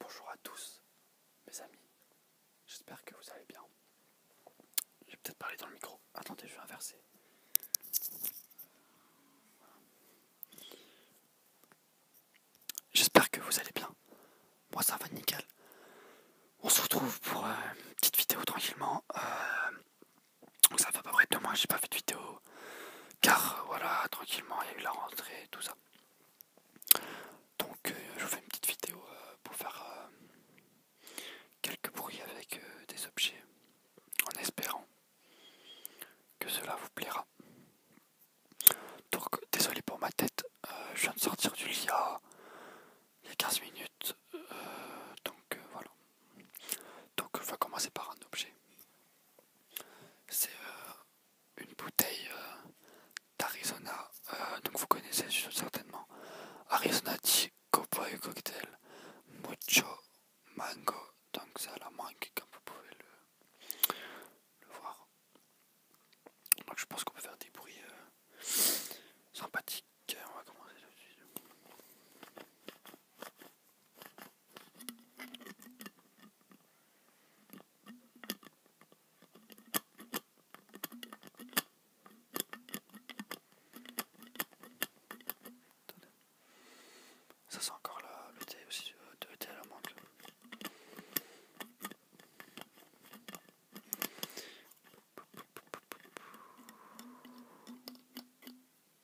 Bonjour à tous mes amis, j'espère que vous allez bien. J'ai peut-être parlé dans le micro. Attendez, je vais inverser. J'espère que vous allez bien. Moi ça va nickel. On se retrouve pour euh, une petite vidéo tranquillement. Euh, ça va pas près j'ai pas fait de vidéo. Car voilà, tranquillement, il y a eu la rentrée, tout ça. Donc euh, je vous fais une petite vidéo euh, pour faire euh, quelques bruits avec des objets en espérant que cela vous plaira. Donc désolé pour ma tête, je viens de sortir du lit il y a 15 minutes. donc voilà. Donc je vais commencer par un objet. C'est une bouteille euh, d'Arizona. Euh, donc vous connaissez certainement Arizona Tea Cowboy Cocktail Mucho Mango. Donc c'est à la mangue comme vous pouvez le, voir. Donc je pense qu'on peut faire des bruits euh, sympathiques. On va commencer tout de suite. Ça sent encore la, le thé aussi, tu euh, le thé à la mangue.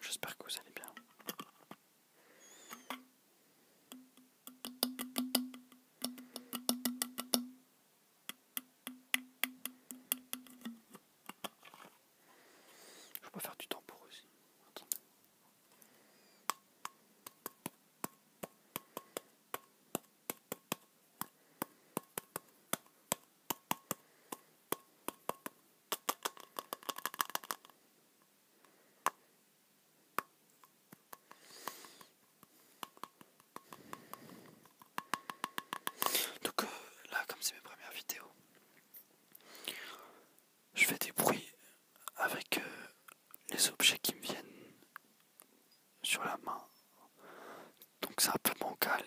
J'espère que vous allez bien. Je peux faire du temps pour aussi. Donc euh, là, comme c'est mes premières vidéos, je fais des bruits avec euh, les objets qui me viennent sur la main. Donc c'est un peu bancal,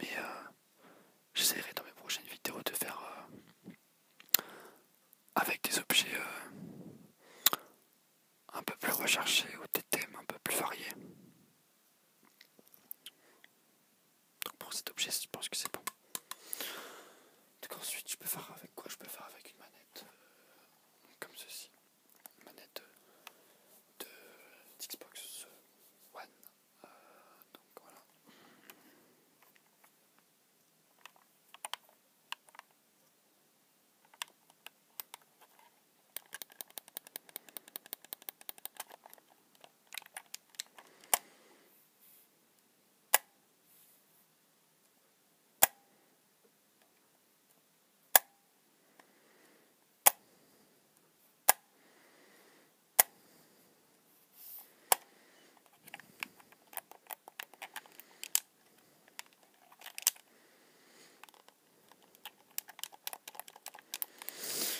mais euh, j'essaierai dans mes prochaines vidéos de faire euh, avec des objets un peu plus recherchés ou des thèmes un peu plus variés. Donc pour cet objet, je pense que c'est bon. Donc ensuite, je peux faire avec quoi Je peux faire avec une manette euh, comme ceci. Une manette euh, de, Xbox One. Euh, donc voilà.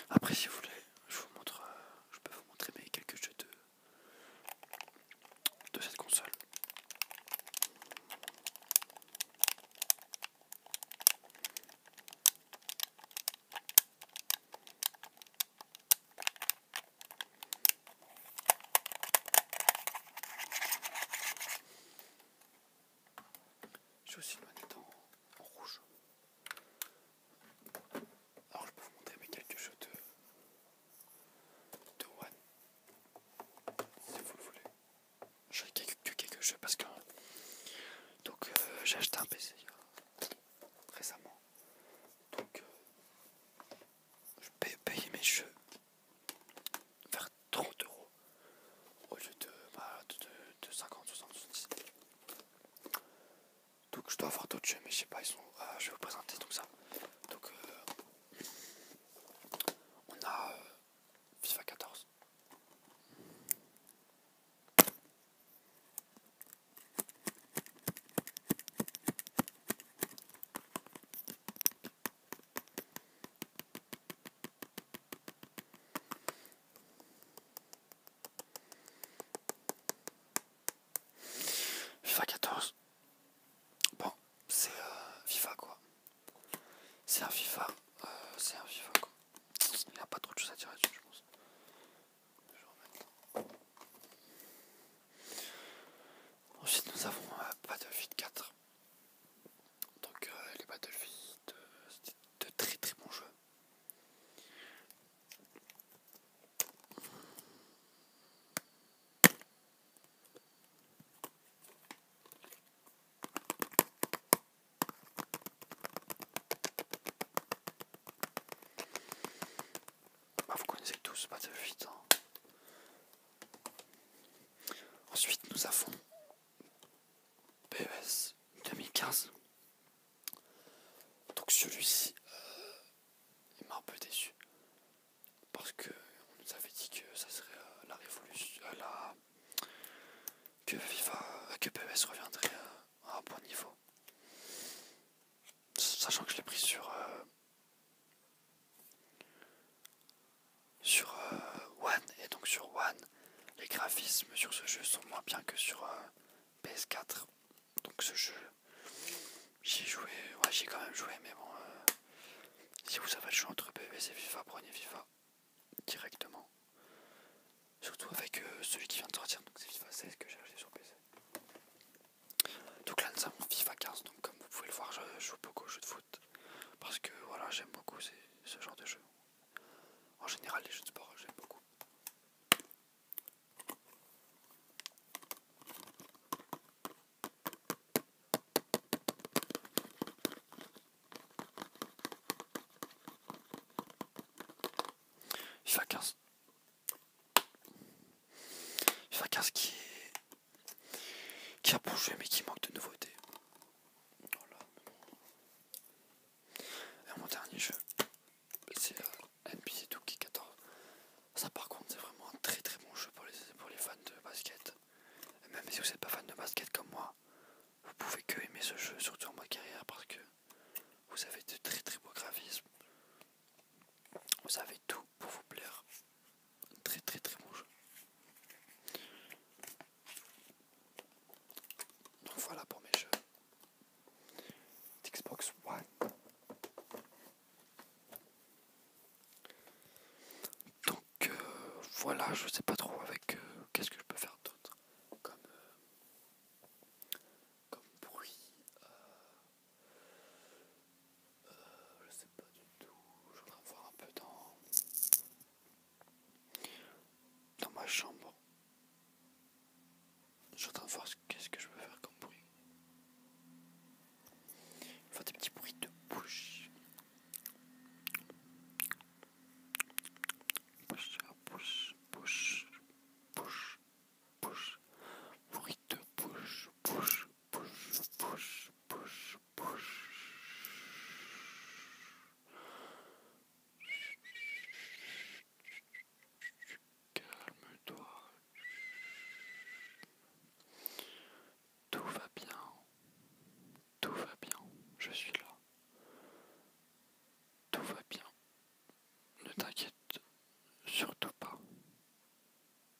Après, si vous voulez, je vous montre, euh, je peux vous montrer mes quelques jeux de, cette console. J'ai aussi le manette en rouge alors je peux vous montrer mes quelques jeux de One, si vous le voulez. J'ai quelques, quelques jeux parce que. Donc euh, j'ai acheté un PC euh, récemment. Donc euh, je paye, mes jeux vers 30 euros au lieu de, bah, de 50, 60, 70. Donc je dois avoir d'autres jeux, mais je sais pas, ils sont. Euh, je vais vous présenter tout ça. Donc euh, on a euh, FIFA 14. FIFA 14. Bon, c'est euh, FIFA quoi. C'est un FIFA. Euh, c'est un FIFA quoi. Il n'y a pas trop de choses à dire là-dessus, je pense. Ensuite, nous avons euh, Battlefield 4. Donc, les Battlefield, c'est c'était de très très bons jeux. Bah, vous connaissez tous pas de Hein. Ensuite, nous avons PES 2015. Donc celui-ci, euh, il m'a un peu déçu. Parce que on nous avait dit que ça serait euh, la révolution. Euh, que que PES reviendrait à un bon niveau. Sachant que je l'ai pris sur sur euh, One et donc sur One les graphismes sur ce jeu sont moins bien que sur euh, PS4 donc ce jeu j'ai joué ouais j'ai quand même joué mais bon euh, si vous avez le choix entre PS et FIFA prenez FIFA directement surtout avec celui qui vient de sortir donc c'est FIFA 16 que j'ai acheté sur PC donc là nous avons FIFA 15 donc comme vous pouvez le voir je joue beaucoup au jeu de foot parce que voilà j'aime beaucoup ce genre de jeu en général, les jeux de sport, j'aime beaucoup. FIFA 15. FIFA 15 qui est... qui a bougé mais qui manque de nouveautés. Et mon dernier jeu, c'est euh, NBA 2K14. Ça par contre c'est vraiment un très très bon jeu pour les, pour les fans de basket. Et même si vous n'êtes pas fan de basket comme moi, vous pouvez que aimer ce jeu, surtout en mode carrière, parce que vous avez de très très beaux graphismes. Vous avez tout pour vous plaire. Très très très bon jeu. Donc voilà pour mes jeux d'Xbox One. Donc euh, voilà, je sais pas trop avec euh, qu'est-ce que je peux faire d'autre comme, euh, bruit. je sais pas du tout. Je en voir un peu dans dans ma chambre. Je suis en qu'est-ce que je peux faire comme bruit. Faire des petits bruits de bouche. Bouche, bouche, bouche, bouche, bouche. Bruit de bouche, bouche. Calme-toi. Tout va bien. Tout va bien. Je suis là. Tout va bien. Ne t'inquiète surtout pas.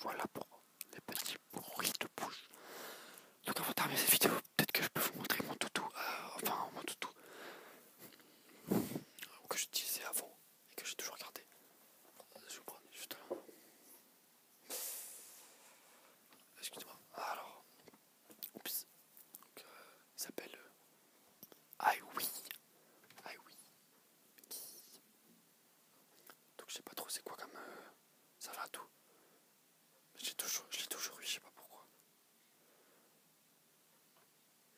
Voilà pour les petits bruits de bouche. Donc avant de terminer cette vidéo, peut-être que je peux vous montrer mon toutou, euh, enfin mon toutou euh, que j'utilisais avant et que j'ai toujours gardé. Euh, je vous juste là. Excuse-moi. Ah, alors. Oups. Donc, euh, il s'appelle. I euh, ah oui. Ah oui. Donc je sais pas trop c'est quoi comme. Euh, ça va tout. J'ai toujours, je l'ai toujours eu, je sais pas pourquoi.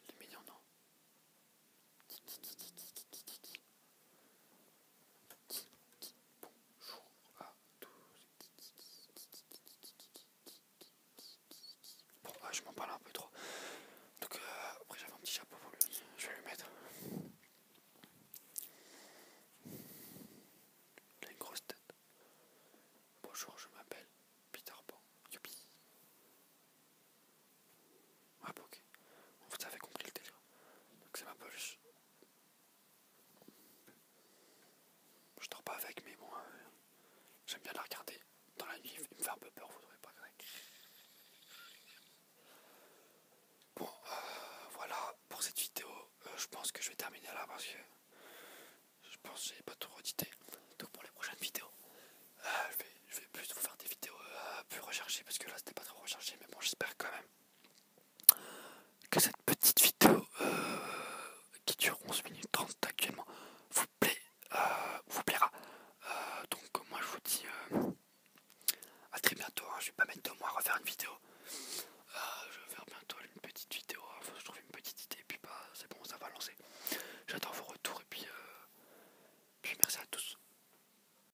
Il est mignon, non Bonjour à tous. Bon, ah, je m'en parle un peu trop. Donc, euh, après, j'avais un petit chapeau pour lui. Je vais lui mettre. Il a une grosse tête. Bonjour, je m'appelle Peter Pan. Yuppie Ah, ok. Vous avez compris le délire. Donc, c'est ma poche. Je dors pas avec, mais bon, euh, j'aime bien la regarder dans la nuit et me faire un peu peur, vous trouvez pas correct. Bon, euh, voilà pour cette vidéo. Euh, je pense que je vais terminer là parce que je pense que j'ai pas tout redité. Donc pour les prochaines vidéos, je, vais, plus vous faire des vidéos plus recherchées parce que là c'était pas trop recherché, mais bon, j'espère quand même que cette petite vidéo euh, qui dure 11 minutes 30 actuellement vous, plaît, euh, vous plaira. Euh, donc moi je vous dis à très bientôt, hein. je vais pas mettre de moi à refaire une vidéo. je vais faire bientôt une petite vidéo, hein. faut que je trouve une petite idée, et puis bah, c'est bon, ça va lancer. J'attends vos retours et puis, puis merci à tous.